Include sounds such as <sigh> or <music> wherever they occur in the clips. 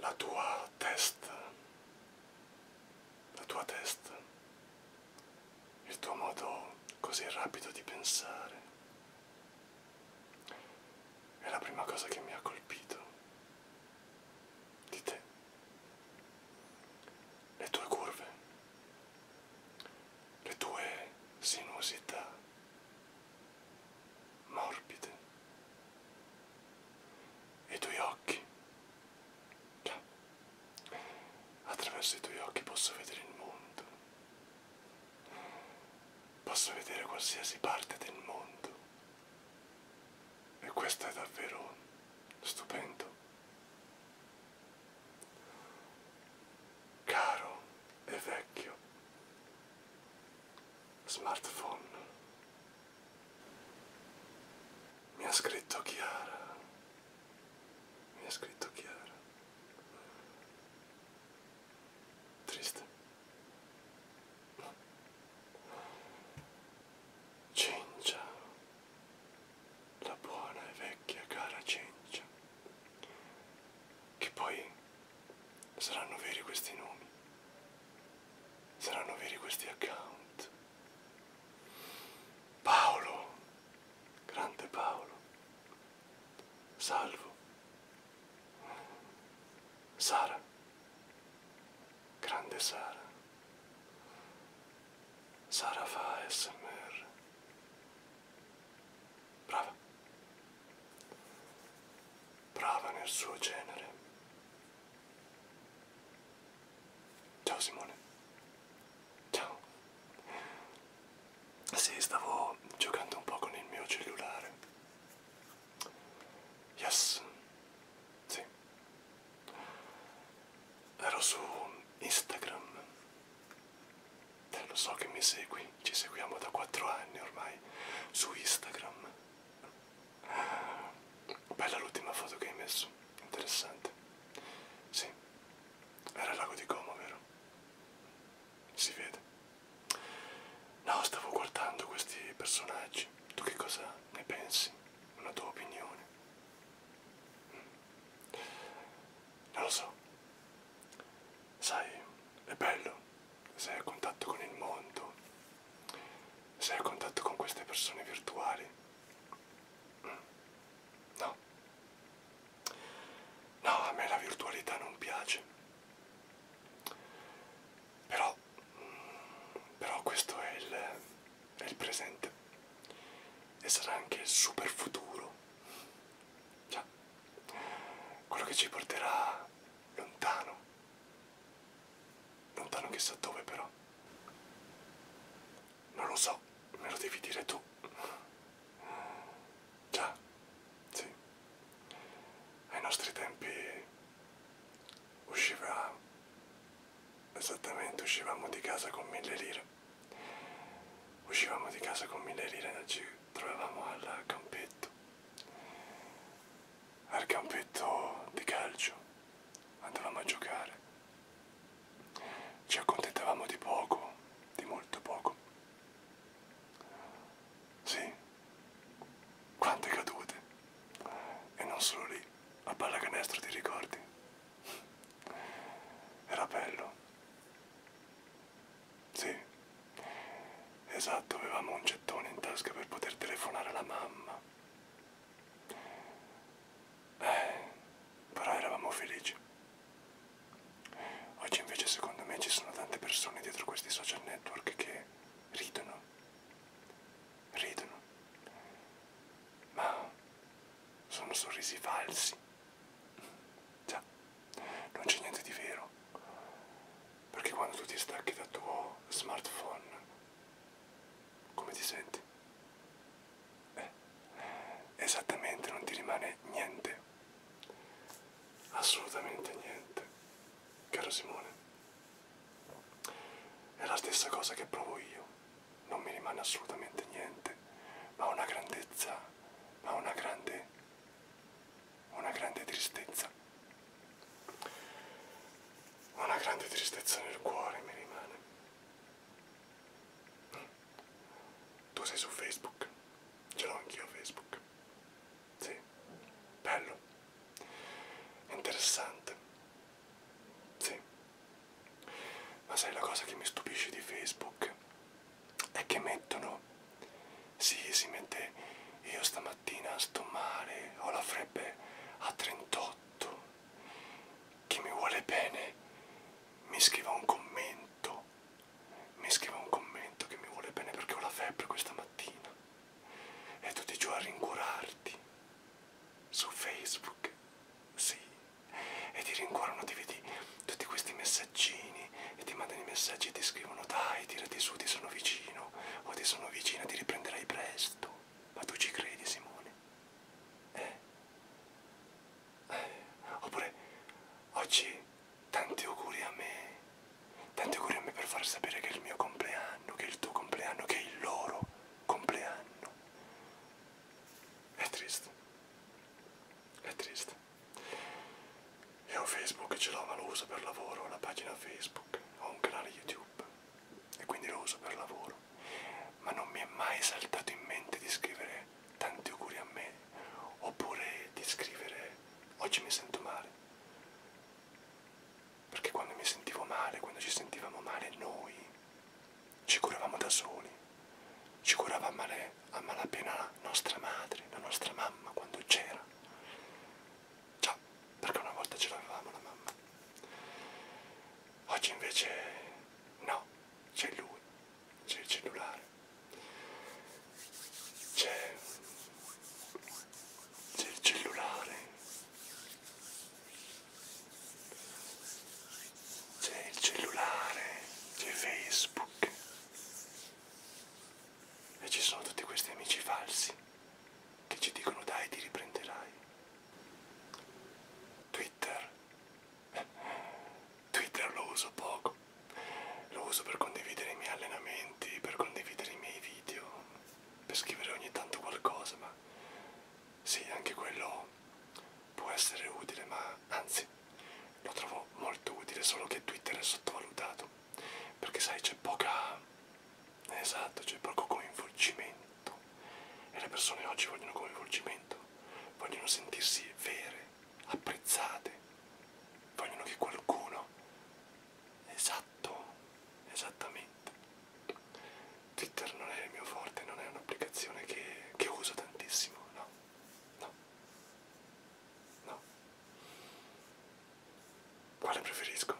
la tua testa, la tua testa, il tuo modo così rapido di pensare. È la prima cosa che mi ha colpito di te, le tue curve, le tue sinuosità morbide, i tuoi occhi. Già, attraverso i tuoi occhi posso vedere il mondo. Posso vedere qualsiasi parte del mondo. E questo è davvero stupendo caro e vecchio smartphone. Mi ha scritto Chiara, mi ha scritto Chiara. Triste. Cincia la buona e vecchia cara Cencia, che poi saranno veri questi nomi, saranno veri questi account. Paolo, grande Paolo, salvo. Sara, grande Sara. Sara fa ASMR. Brava. Brava nel suo genere. Ciao Simone. Ciao. Sì, stavo giocando un po' con il mio cellulare. Yes. Sì. Ero su Instagram Te eh, lo so che mi segui, ci seguiamo da 4 anni ormai su Instagram. Bella l'ultima foto che hai messo, interessante. Sì, era il lago di Como, vero? Si vede. No, stavo guardando questi personaggi. Tu che cosa ne pensi? Una tua opinione? Non lo so, sai, è bello, sei a contatto con il mondo, sei a contatto con queste persone virtuali. No, no, a me la virtualità non piace. Però, però questo è il, è il presente e sarà anche il super futuro. Cioè, quello che ci porterà lontano. Lontano chissà dove però. Non lo so, me lo devi dire tu. Già, sì. Ai nostri tempi usciva... Esattamente, uscivamo di casa con mille lire. Uscivamo di casa con mille lire e ci trovavamo al campetto, al campetto di calcio, andavamo a giocare, ci accontentavamo di poco, di molto poco. Sì, quante cadute, e non solo lì, a pallacanestro ti ricordi? Era bello. Sì, esatto, avevamo un gettone in tasca per poter telefonare alla mamma. Eh, però eravamo felici. Oggi invece secondo me ci sono tante persone dietro questi social network che ridono. Ridono. Ma sono sorrisi falsi. Già, non c'è niente di vero, perché quando tu ti stacchi dal tuo smartphone, come ti senti? Eh, esattamente, non ti rimane niente, assolutamente niente, caro Simone. È la stessa cosa che provo io, non mi rimane assolutamente niente, ma una grandezza ma una grande, una grande tristezza. Una grande tristezza nel cuore mi rimane. Tu sei su Facebook, ce l'ho anch'io Facebook. Sì, bello, interessante. Sì, ma sai la cosa che mi stupisce di Facebook è che mettono sì si mette io stamattina sto male ho la febbre a 38 chi mi vuole bene mi scriva un commento mi scriva un commento che mi vuole bene perché ho la febbre questa mattina e tu ti giù a rincuorarti su facebook sì e ti rincuorano, ti vedi tutti questi messaggini e ti mandano i messaggi e ti scrivono dai, tirati su, ti sono vicino o ti sono vicina, ti riprenderai presto. Ma tu ci credi, Simone? Eh? eh? Oppure oggi tanti auguri a me, tanti auguri a me per far sapere che è il mio compleanno, che è il tuo compleanno, che è il loro compleanno. È triste. È triste. Io Facebook ce l'ho ma lo uso per lavoro, ho una pagina Facebook, ho un canale YouTube e quindi lo uso per lavoro. Ma non mi è mai saltato in mente di scrivere tanti auguri a me oppure di scrivere oggi mi sento male. Perché quando mi sentivo male, quando ci sentivamo male noi, ci curavamo da soli ci curava a, male, a malapena la nostra madre, la nostra mamma quando c'era. Già, perché una volta ce l'avevamo la mamma. Oggi invece no, c'è lui, c'è il cellulare, c'è il cellulare, c'è il cellulare, c'è Facebook. E ci sono tutti questi amici falsi che ci dicono dai ti riprenderai. Twitter. Twitter lo uso poco. Lo uso per condividere i miei allenamenti, per condividere i miei video, per scrivere ogni tanto qualcosa, ma sì, anche quello può essere utile, ma anzi lo trovo molto utile, solo che Twitter è sottovalutato, perché sai c'è poca... esatto, c'è poco coinvolgimento e le persone oggi vogliono coinvolgimento, vogliono sentirsi vere, apprezzate, vogliono che qualcuno... esatto, esattamente. Twitter non è il mio forte, non è un'applicazione che, che uso tantissimo, no, no. No. Quale preferisco?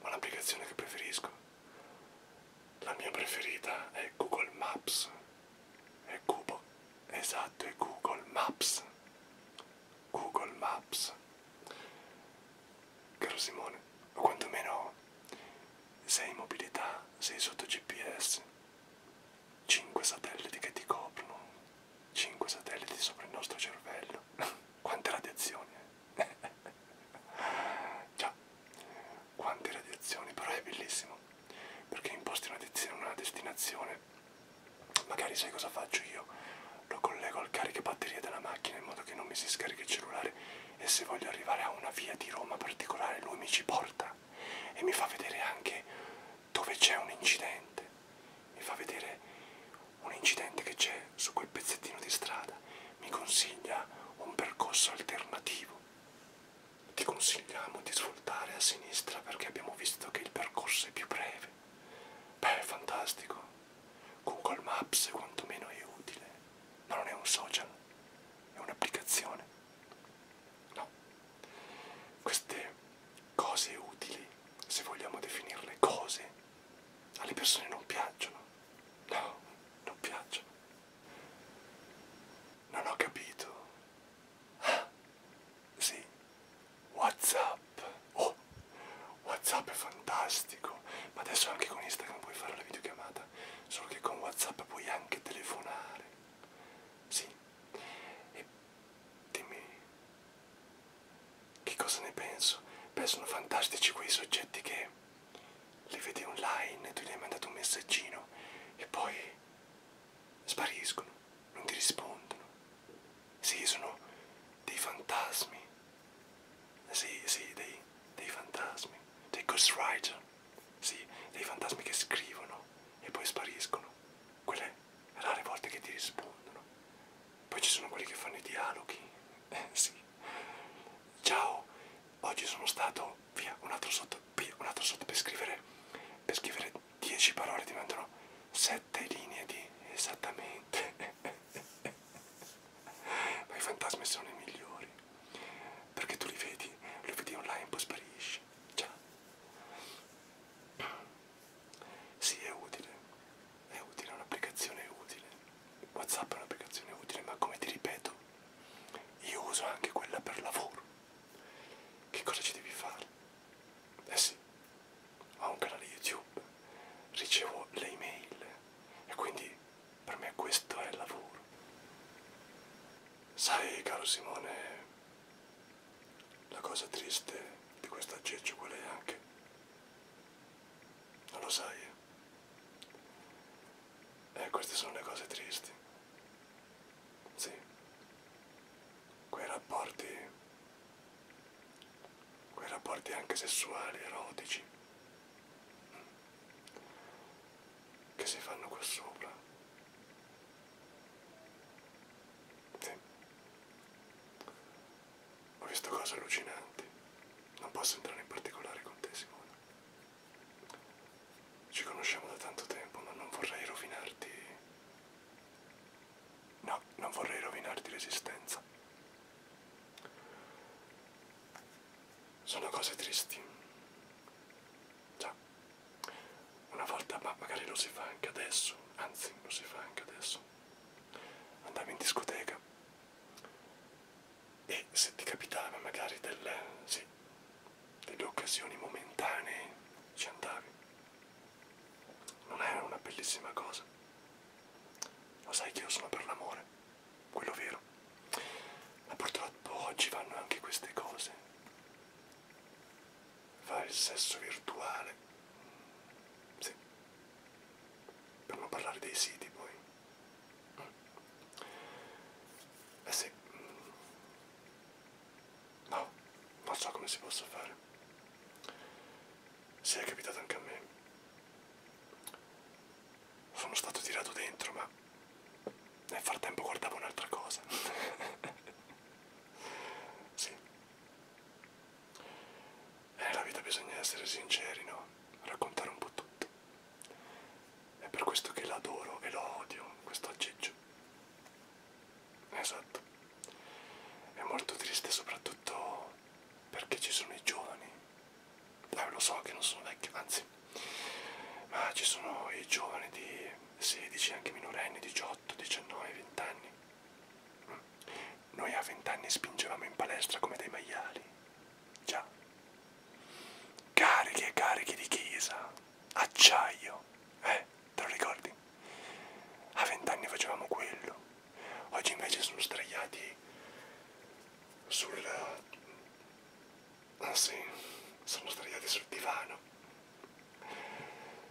Ho l'applicazione che preferisco. La mia preferita è Google Maps. È Cubo. Esatto, è Google Maps. Google Maps. Caro Simone, o quantomeno sei in mobilità, sei sotto GPS. 5 satelliti che ti coprono, 5 satelliti sopra il nostro cervello. <laughs> Quante radiazioni? Eh? <laughs> Già, quante radiazioni, però è bellissimo. Perché imposti una, una destinazione, magari sai cosa faccio io? Lo collego al caricabatterie della macchina in modo che non mi si scarichi il cellulare e se voglio arrivare a una via di Roma particolare lui mi ci porta e mi fa vedere anche dove c'è un incidente, mi fa vedere un incidente che c'è su quel pezzettino di strada, mi consiglia un percorso alternativo. Ti consigliamo di svoltare a sinistra perché abbiamo visto che il percorso è più breve. Beh, è fantastico. Google Maps quantomeno è utile, ma non è un social, è un'applicazione. No, queste cose utili, se vogliamo definirle cose, alle persone non piacciono. No, non piacciono. Non ho capito. Ah, sì. WhatsApp. Oh, WhatsApp è fantastico. Ma adesso anche con Instagram puoi fare la videochiamata. Solo che con WhatsApp puoi anche telefonare. Sì. E di me. Che cosa ne penso? Beh, sono fantastici quei soggetti che li vedi online e tu gli hai mandato un messaggino e poi spariscono, non ti rispondono. Sì, sono dei fantasmi. Sì, sì, dei, dei fantasmi. Dei ghostwriter. Sì, dei fantasmi che scrivono e poi spariscono quelle rare volte che ti rispondono. Poi ci sono quelli che fanno i dialoghi. Eh, sì. Ciao, oggi sono stato via un altro sotto, via un altro sotto per scrivere, per scrivere 10 parole ti mandano 7 linee di esattamente. <laughs> Ma i fantasmi sono i migliori. Perché tu li vedi, li vedi online, poi sparisci. Ciao. Sì, è utile, è utile, è un'applicazione utile. WhatsApp è un'applicazione utile, ma come ti ripeto, io uso anche quella per lavoro. Che cosa ci devi fare? Eh sì, ho un canale YouTube, ricevo le email e quindi per me questo è lavoro. Sai, caro Simone, la cosa triste di questo aggeggio qual è anche? Non lo sai. Eh? eh, queste sono le cose tristi. Sì. Quei rapporti... Quei rapporti anche sessuali, erotici. Che si fanno qua sopra. Sì. Ho visto cose allucinanti. Non posso entrare in particolare con te, Simona. Ci conosciamo da tanto tempo, ma non vorrei rovinarti. No, non vorrei rovinarti l'esistenza. Sono cose tristi. Già una volta, ma magari lo si fa anche adesso, anzi lo si fa anche adesso, andavi in discoteca e se ti capitava magari delle, sì, delle occasioni momentanee ci andavi. Non era una bellissima cosa. Lo sai che io sono per l'amore, quello vero. Ma purtroppo oggi vanno anche queste cose fare il sesso virtuale. Sì. Per non parlare dei siti poi. Eh sì. No, non so come si possa fare. Sì, è capitato anche a me. Sono stato tirato dentro, ma nel frattempo guardavo un'altra cosa. <laughs> Sì. E eh, nella vita bisogna essere sinceri, no? Raccontare un po' tutto. È per questo che l'adoro e lo odio, questo aggeggio. Esatto. È molto triste soprattutto perché ci sono i giovani. Eh, lo so che non sono vecchio, anzi, ma ci sono i giovani di 16, anche minorenni, 18, 19, 20 anni. Noi a 20 anni spingevamo in palestra come dei maiali. Già. Carichi e carichi di chisa, acciaio. Eh, te lo ricordi? A 20 anni facevamo quello. Oggi invece sono straiati sul... Ah sì, sono straiati sul divano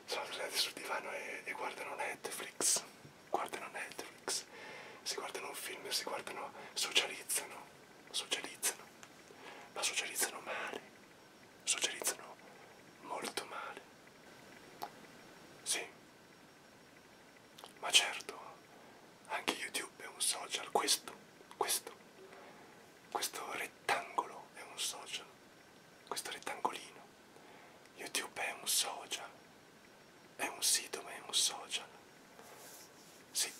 sono sdraiati sul divano e, e guardano Netflix, guardano Netflix, si guardano un film, si guardano, socializzano, socializzano, ma socializzano male, socializzano molto male. Sì, ma certo, anche YouTube è un social, questo, questo, questo rettangolo è un social questo rettangolino. YouTube è un social, è un sito ma è un social. Sì.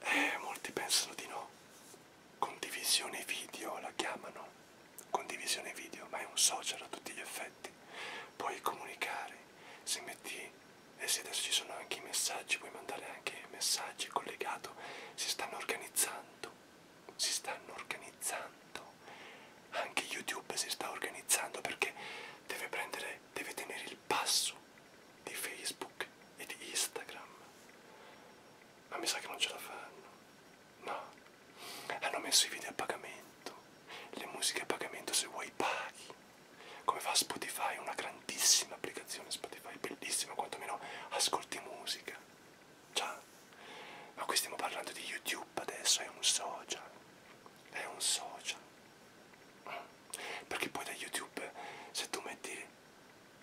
Eh, molti pensano di no. Condivisione video la chiamano. Condivisione video, ma è un social a tutti gli effetti. Puoi comunicare, se metti e se adesso ci sono anche i messaggi, puoi mandare anche messaggi collegato, si stanno organizzando si stanno organizzando. Anche YouTube si sta organizzando perché deve prendere, deve tenere il passo di Facebook e di Instagram. Ma mi sa che non ce la fanno. No. Hanno messo i video a pagamento, le musiche a pagamento se vuoi paghi. Come fa Spotify, una grandissima applicazione Spotify, bellissima, quantomeno ascolti musica. Cioè, ma qui stiamo parlando di YouTube adesso, è un social. È un social. Perché poi da YouTube, se tu metti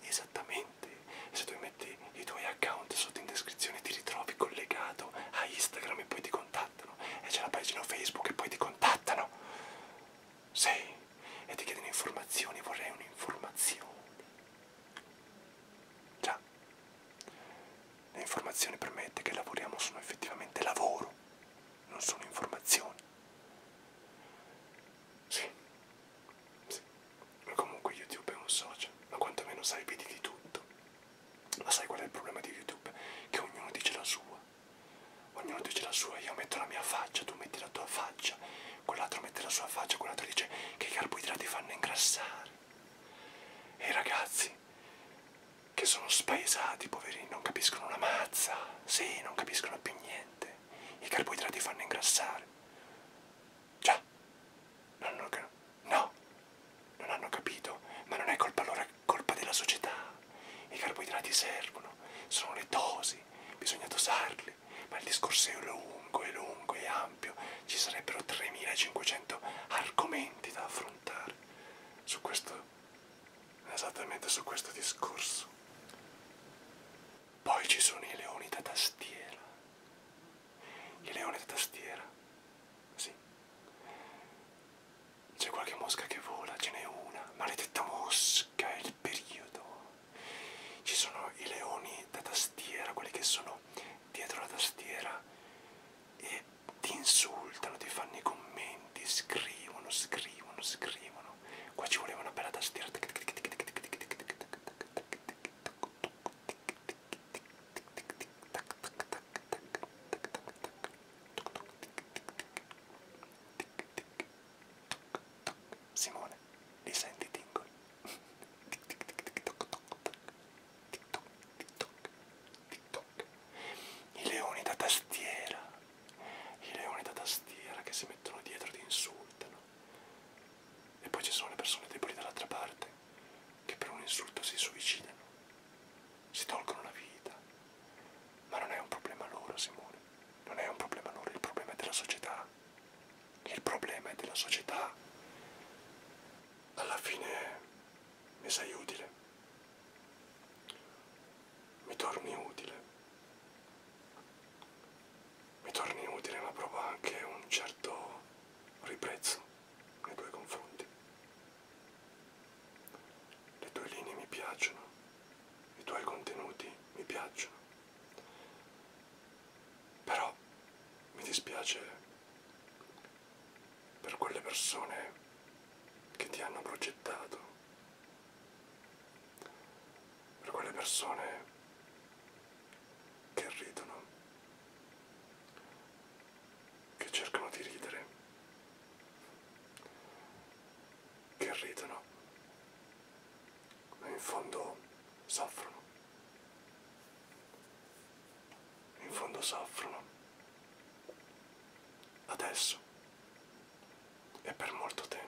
esattamente, se tu metti i tuoi account sotto in descrizione, ti ritrovi collegato a Instagram e poi ti contattano. E c'è la pagina Facebook e poi ti contattano. Sì, e ti chiedono informazioni, vorrei un'informazione. Già, l'informazione permette che lavoriamo sono effettivamente lavoro, non sono informazioni. Sì, sì. Ma comunque YouTube è un social, ma quantomeno sai vedi di tutto. Ma sai qual è il problema di YouTube? Che ognuno dice la sua. Ognuno dice la sua, io metto la mia faccia, tu metti la tua faccia, quell'altro mette la sua faccia, quell'altro dice che i carboidrati fanno ingrassare. E i ragazzi che sono spaesati, poverini, non capiscono una mazza, sì, non capiscono più niente. I carboidrati fanno ingrassare. Già, non hanno, no, non hanno capito, ma non è colpa loro, è colpa della società. I carboidrati servono, sono le dosi, bisogna dosarli farli, ma il discorso è lungo, è lungo, è ampio, ci sarebbero 3500 argomenti da affrontare su questo, esattamente su questo discorso. Poi ci sono i leoni da tastiera. I leoni da tastiera, sì. C'è qualche mosca che vola, ce n'è una, maledetta mosca, è il periodo. Ci sono i leoni da tastiera, quelli che sono dietro la tastiera e ti insultano, ti fanno i commenti, scrivono, scrivono, scrivono. Qua ci voleva una bella tastiera. Simone, li senti tingoli? I leoni da tastiera, i leoni da tastiera che si mettono dietro e ti insultano. E poi ci sono le persone deboli dall'altra parte che per un insulto si suicidano, si tolgono la vita. Ma non è un problema loro, Simone, non è un problema loro, il problema è della società il problema è della società, alla fine mi sei utile, mi torni utile, mi torni utile ma provo anche un certo riprezzo nei tuoi confronti. Le tue linee mi piacciono, i tuoi contenuti mi piacciono però mi dispiace per quelle persone che ti hanno progettato, per quelle persone che ridono, che cercano di ridere, che ridono, ma in fondo soffrono in fondo soffrono adesso e per molto tempo.